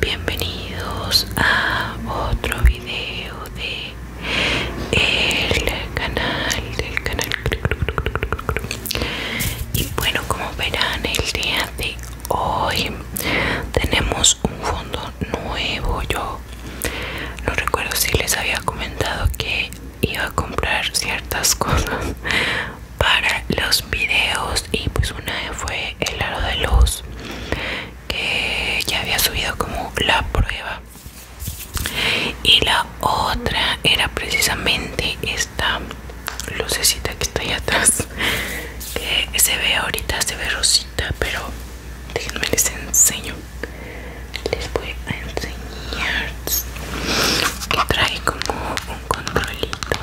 bienvenidos a otro video de el canal del canal y bueno como verán el día de hoy tenemos un fondo nuevo yo no recuerdo si les había comentado que iba a comprar ciertas cosas para los videos y pues una fue el aro de luz que ya había subido como la prueba y la otra era precisamente esta lucecita que está ahí atrás que se ve ahorita se ve rosita pero déjenme les enseño les voy a enseñar que trae como un controlito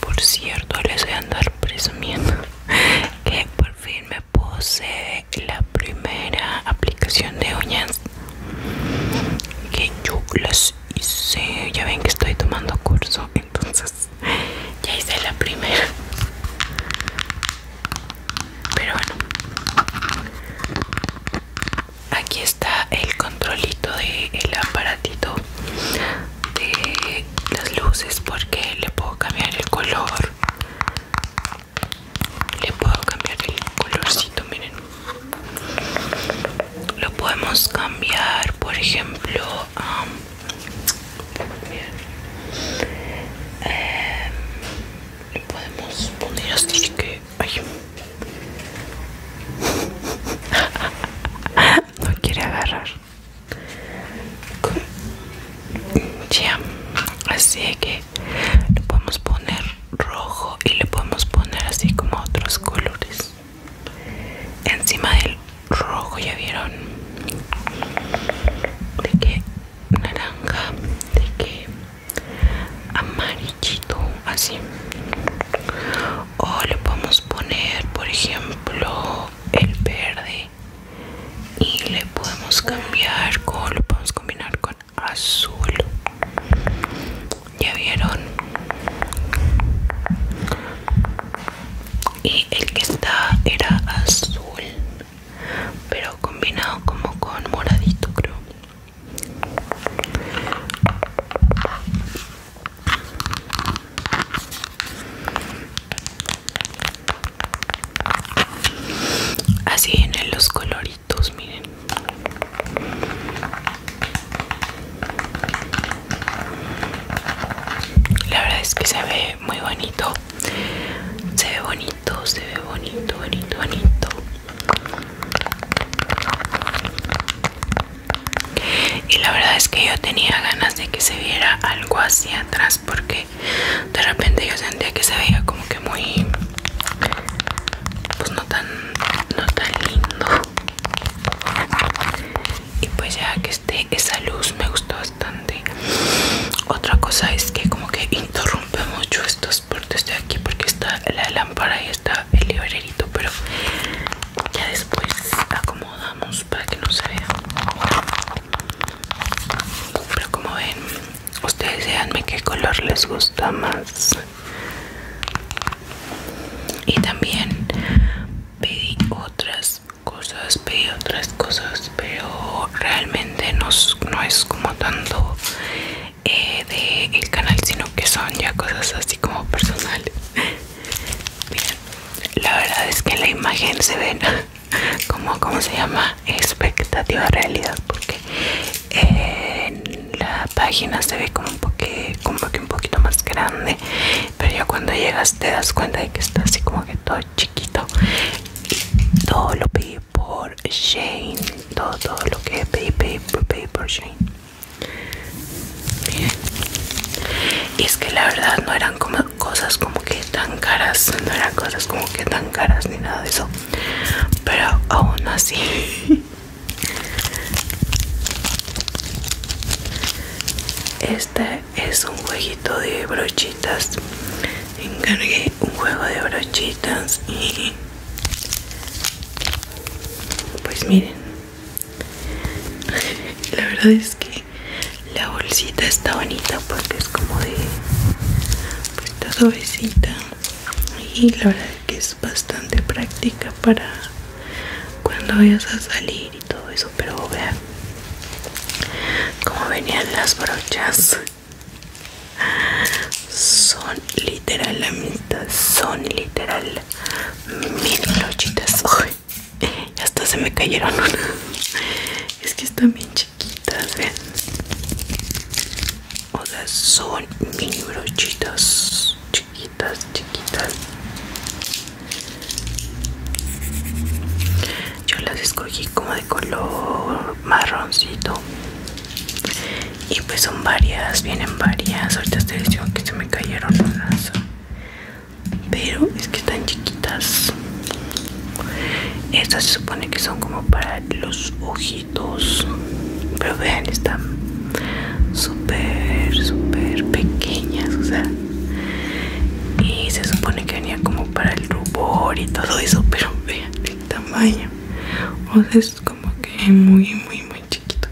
por cierto les voy a andar presumiendo que por fin me posee la primera aplicación de uñas que yo las y ya ven que estoy tomando curso, entonces ya hice la primera. Pero bueno, aquí está el controlito del el aparatito de las luces porque le puedo cambiar el color. Le puedo cambiar el colorcito, miren lo podemos cambiar por ejemplo eh, podemos poner así que no quiere agarrar ya así que lo podemos poner rojo y le podemos poner así como otros colores encima del rojo ya vieron de que naranja de que amarillito así o le podemos poner por ejemplo el verde y le podemos cambiar con lo podemos combinar con azul ya vieron y el que está era azul pero combinado como con moradito creo así en los colores miren. La verdad es que se ve muy bonito. Se ve bonito, se ve bonito, bonito, bonito. Y la verdad es que yo tenía ganas de que se viera algo hacia atrás porque de repente yo sentía que se veía como que muy pues tan, no tan lindo y pues ya que esté esa luz me gustó bastante otra cosa es que como que interrumpe mucho estos partes de aquí porque está la lámpara y está el librerito pero ya después acomodamos para que no se vea pero como ven ustedes díganme qué color les gusta más y también pedí otras cosas pedí otras cosas pero realmente no, es como tanto eh, de el canal sino que son ya cosas así como personales la verdad es que en la imagen se ve como como se llama expectativa realidad porque eh, la página se ve como, un poque, como que un poquito más grande pero ya cuando llegas te das cuenta de que está así como que todo chiquito todo lo pedí por Shane todo, lo que pedí pedí, pedí por Shane y es que la verdad no eran como cosas como que tan caras no eran cosas como que tan caras ni nada de eso pero aún así este es un jueguito de brochitas encargué un juego de brochitas y pues miren la verdad es que la bolsita está bonita porque es como de pues suavecita y la verdad que es bastante práctica para cuando vayas a salir y todo eso pero vean como venían las brochas son literal son literal mil brochitas hasta se me cayeron una es que están bien chiquitas o sea son mini brochitas chiquitas chiquitas yo las escogí como de color marroncito y pues son varias vienen varias ahorita de decía que se me cayeron las. pero es que están chiquitas estas se supone que son como para los ojitos pero vean están súper súper pequeñas o sea y se supone que venía como para el rubor y todo eso pero vean el tamaño o sea es como que muy muy muy chiquito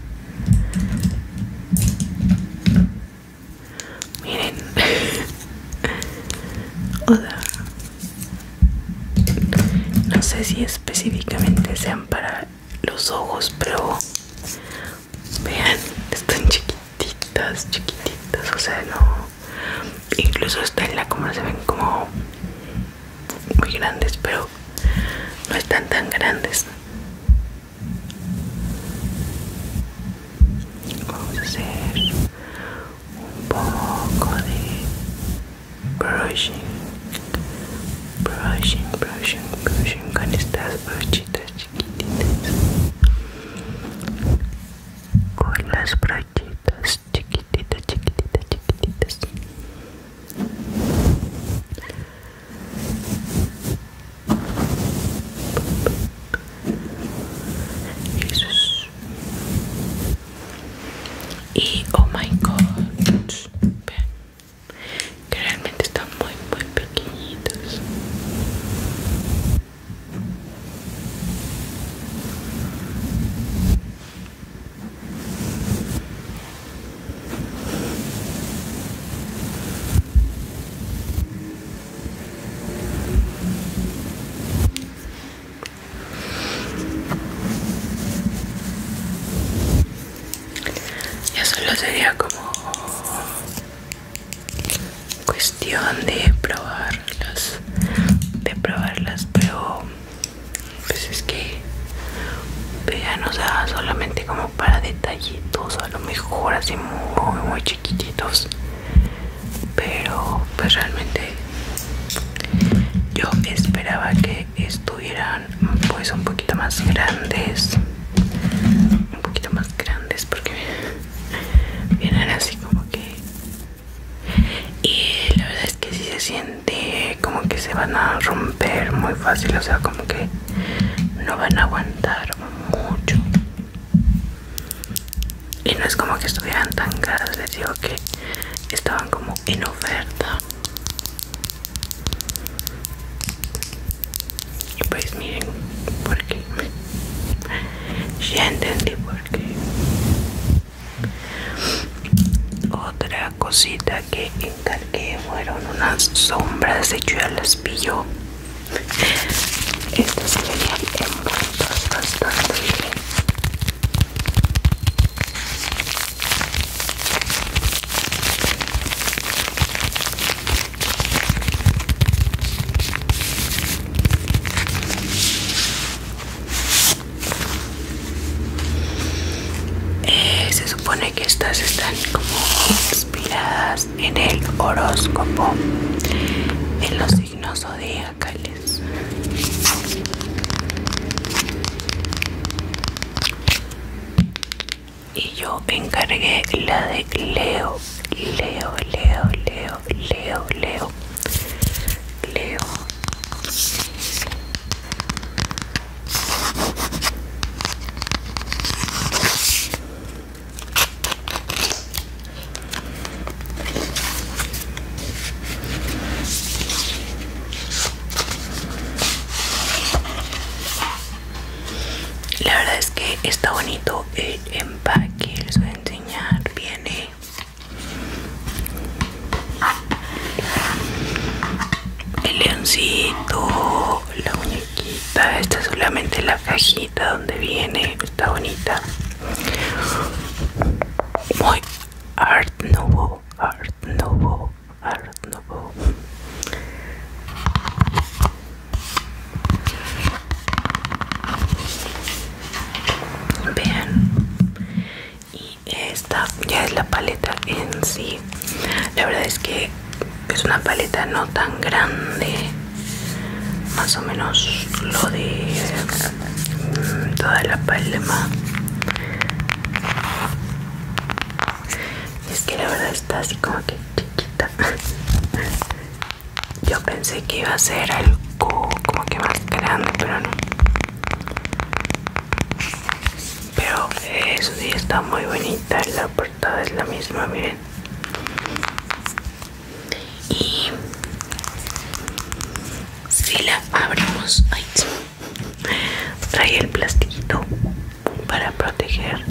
miren o sea no sé si específicamente sean para los ojos pero vean están chiquititas chiquititas o sea no incluso está en la cámara se ven como muy grandes pero no están tan grandes vamos a hacer Bokoni brushing brushing brushing brushing con estas brochitas chiquititas con las brochitas chiquititas chiquititas chiquititas Jesus y oh my god que realmente están muy muy pequeñitos ya solo sería como cuestión de probarlas, de probarlas, pero pues es que vean, pues o sea, solamente como para detallitos, a lo mejor así muy, muy chiquititos pero pues realmente yo esperaba que estuvieran pues un poquito más grandes un poquito más grandes porque vienen así como que y la verdad es que si se siente como que se van a romper muy fácil o sea como que no van a aguantar mucho y no es como que estuvieran tan caras les digo que estaban como en oferta y pues miren porque ya entendí por qué otra cosita que encargué fueron unas sombras de hecho ya las pillo estas se venían envueltos bastante bien. Eh, se supone que estas están como inspiradas en el horóscopo en los y yo encargué la de Leo, Leo, Leo, Leo, Leo, Leo, Leo. La verdad es que está bonito el eh, empaque, les voy a enseñar, viene el leoncito, la muñequita esta es solamente la cajita donde viene está bonita muy art nouveau art nouveau art nouveau vean y esta ya es la paleta en sí la verdad es que es una paleta no tan grande más o menos lo de mm, toda la palma es que la verdad está así como que chiquita yo pensé que iba a ser algo como que más grande pero no pero eso sí está muy bonita la portada es la misma miren y si la abrimos trae el plastiquito para proteger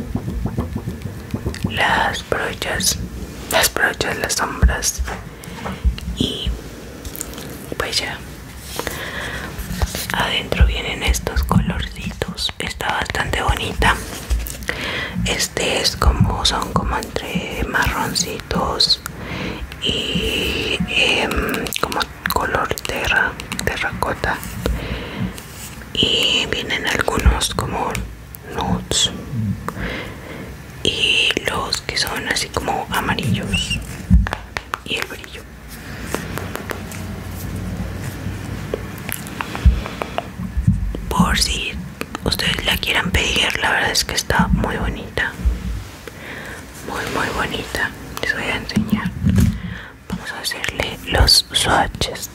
las brochas las brochas las sombras y pues ya adentro vienen estos colorcitos está bastante bonita este es como son como entre marroncitos y em, como color tierra terracota y vienen algunos como nudes y los que son así como amarillos y el brillo por si ustedes la quieran pedir la verdad es que está muy bonita muy muy bonita les voy a enseñar vamos a hacerle los swatches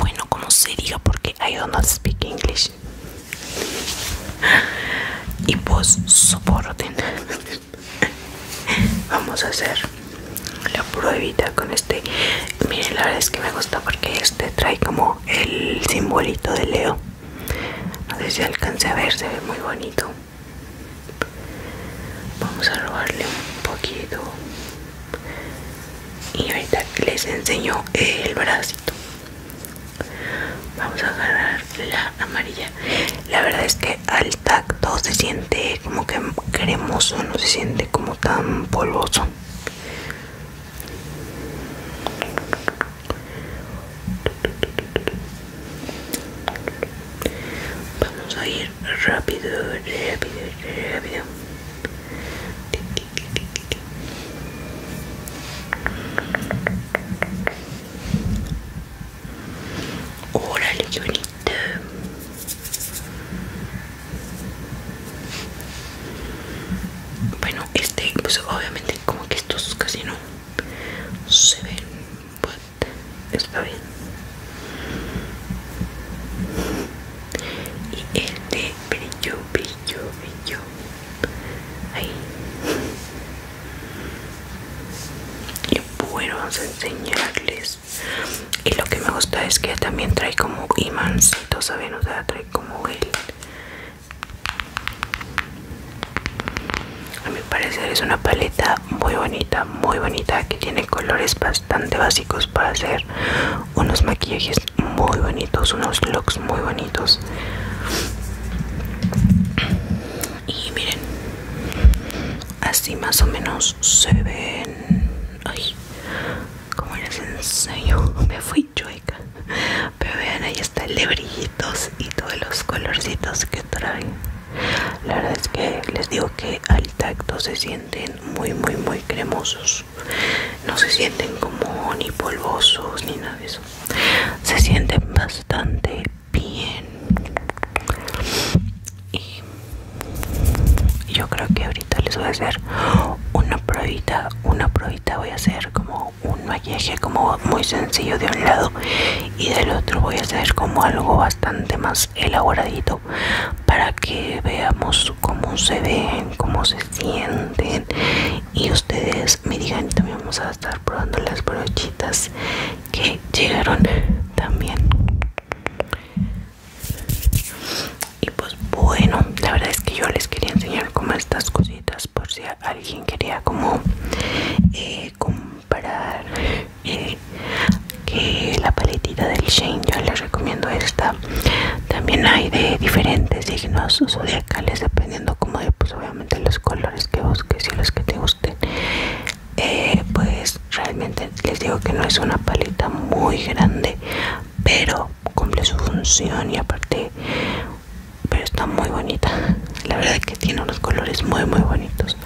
bueno como se diga porque I don't speak English y pues soporten vamos a hacer la pruebita con este miren la verdad es que me gusta porque este trae como el simbolito de Leo no sé si alcance a ver se ve muy bonito vamos a robarle un poquito y ahorita les enseño el bracito vamos a agarrar la amarilla la verdad es que al todo se siente como que cremoso, no se siente como tan polvoso. Vamos a ir rápido, rápido, rápido. hola bueno, este, pues obviamente como que estos casi no se ven, but pues, está bien. Y este brillo, brillo, brillo. Ahí. Y bueno, vamos a enseñarles y lo que me gusta es que también trae como imán saben o sea trae como el a mi parecer es una paleta muy bonita muy bonita que tiene colores bastante básicos para hacer unos maquillajes muy bonitos unos looks muy bonitos y miren así más o menos se ven ay como les enseño me fui chueca pero vean ahí está el brillitos y todos los colorcitos que traen la verdad es que les digo que al tacto se sienten muy muy muy cremosos no se sienten como ni polvosos ni nada de eso se sienten bastante bien y yo creo que ahorita les voy a hacer una probita una probita voy a hacer como un maquillaje como muy sencillo de un lado y del otro voy a hacer como algo bastante más elaboradito para que veamos cómo se ven cómo se sienten y ustedes me digan también vamos a estar probando las brochitas que llegaron también y pues bueno la verdad es que yo les quería enseñar como estas cositas por si alguien quería como eh, comprar eh, que la paletita del Shane yo les recomiendo esta también hay de diferentes signos zodiacales dependiendo como de pues obviamente los colores que busques y los que te gusten eh, pues realmente les digo que no es una paleta muy grande pero cumple su función y aparte pero está muy bonita la verdad que tiene unos colores muy muy bonitos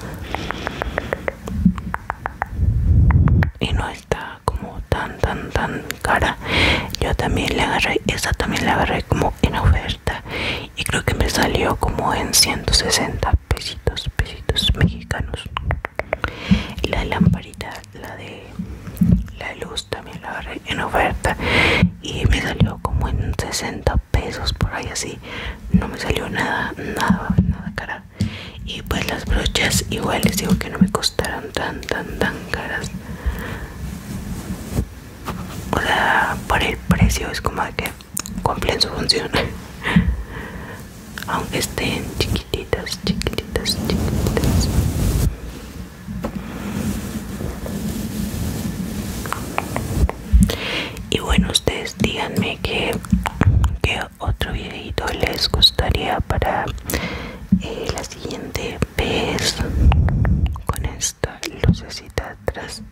y no está como tan tan tan cara yo también la agarré esta también la agarré como en oferta y creo que me salió como en 160 pesitos, pesitos mexicanos. La lamparita, la de la luz también la agarré en oferta y me salió como en 60 pesos por ahí así. No me salió nada, nada, nada cara. Y pues las brochas igual les digo que no me costaron tan, tan, tan caras. O sea, por el precio es como de que cumplen su función aunque estén chiquititas chiquititas chiquititas y bueno ustedes díganme que, otro videito les gustaría para eh, la siguiente vez con esto lo lucecita atrás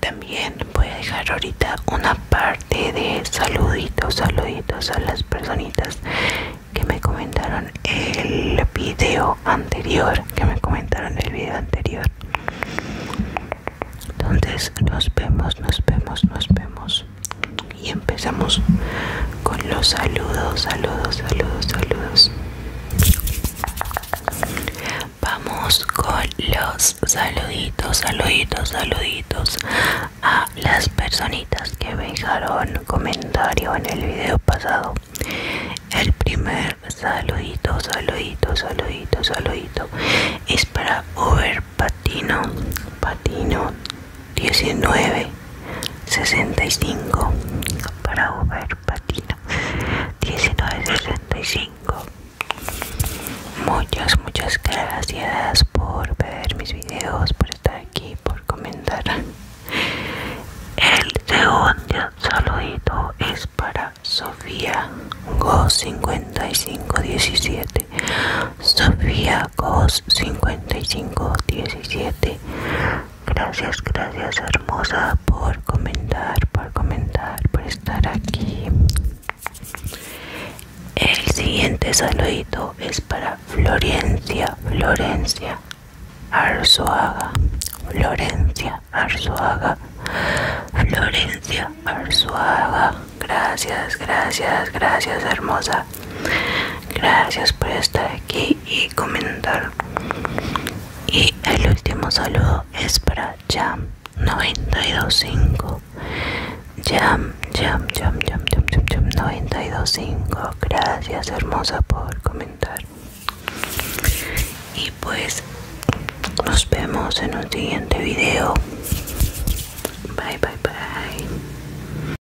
también voy a dejar ahorita una parte de saluditos saluditos a las personitas que me comentaron el video anterior que me comentaron el video anterior entonces nos vemos nos vemos nos vemos y empezamos con los saludos, saludos, saludos, saludos. Vamos con los saluditos, saluditos, saluditos a las personitas que me dejaron comentario en el video pasado. El primer saludito, saludito, saludito, saludito es para Uber Patino, Patino 19 65 para Uber Patina 1965 muchas muchas gracias por ver mis videos por estar aquí por comentar el segundo saludito es para Sofía Go 5517 Sofía Gos 5517 Gracias, gracias hermosa por comentar, por comentar, por estar aquí. El siguiente saludito es para Florencia, Florencia Arzuaga, Florencia Arzuaga, Florencia Arzuaga. Gracias, gracias, gracias hermosa Gracias por estar aquí y comentar. Y el último saludo es para Jam925. Jam, Jam, Jam, Jam, Jam, Jam, Jam 925. Gracias, hermosa, por comentar. Y pues nos vemos en un siguiente video. Bye, bye, bye.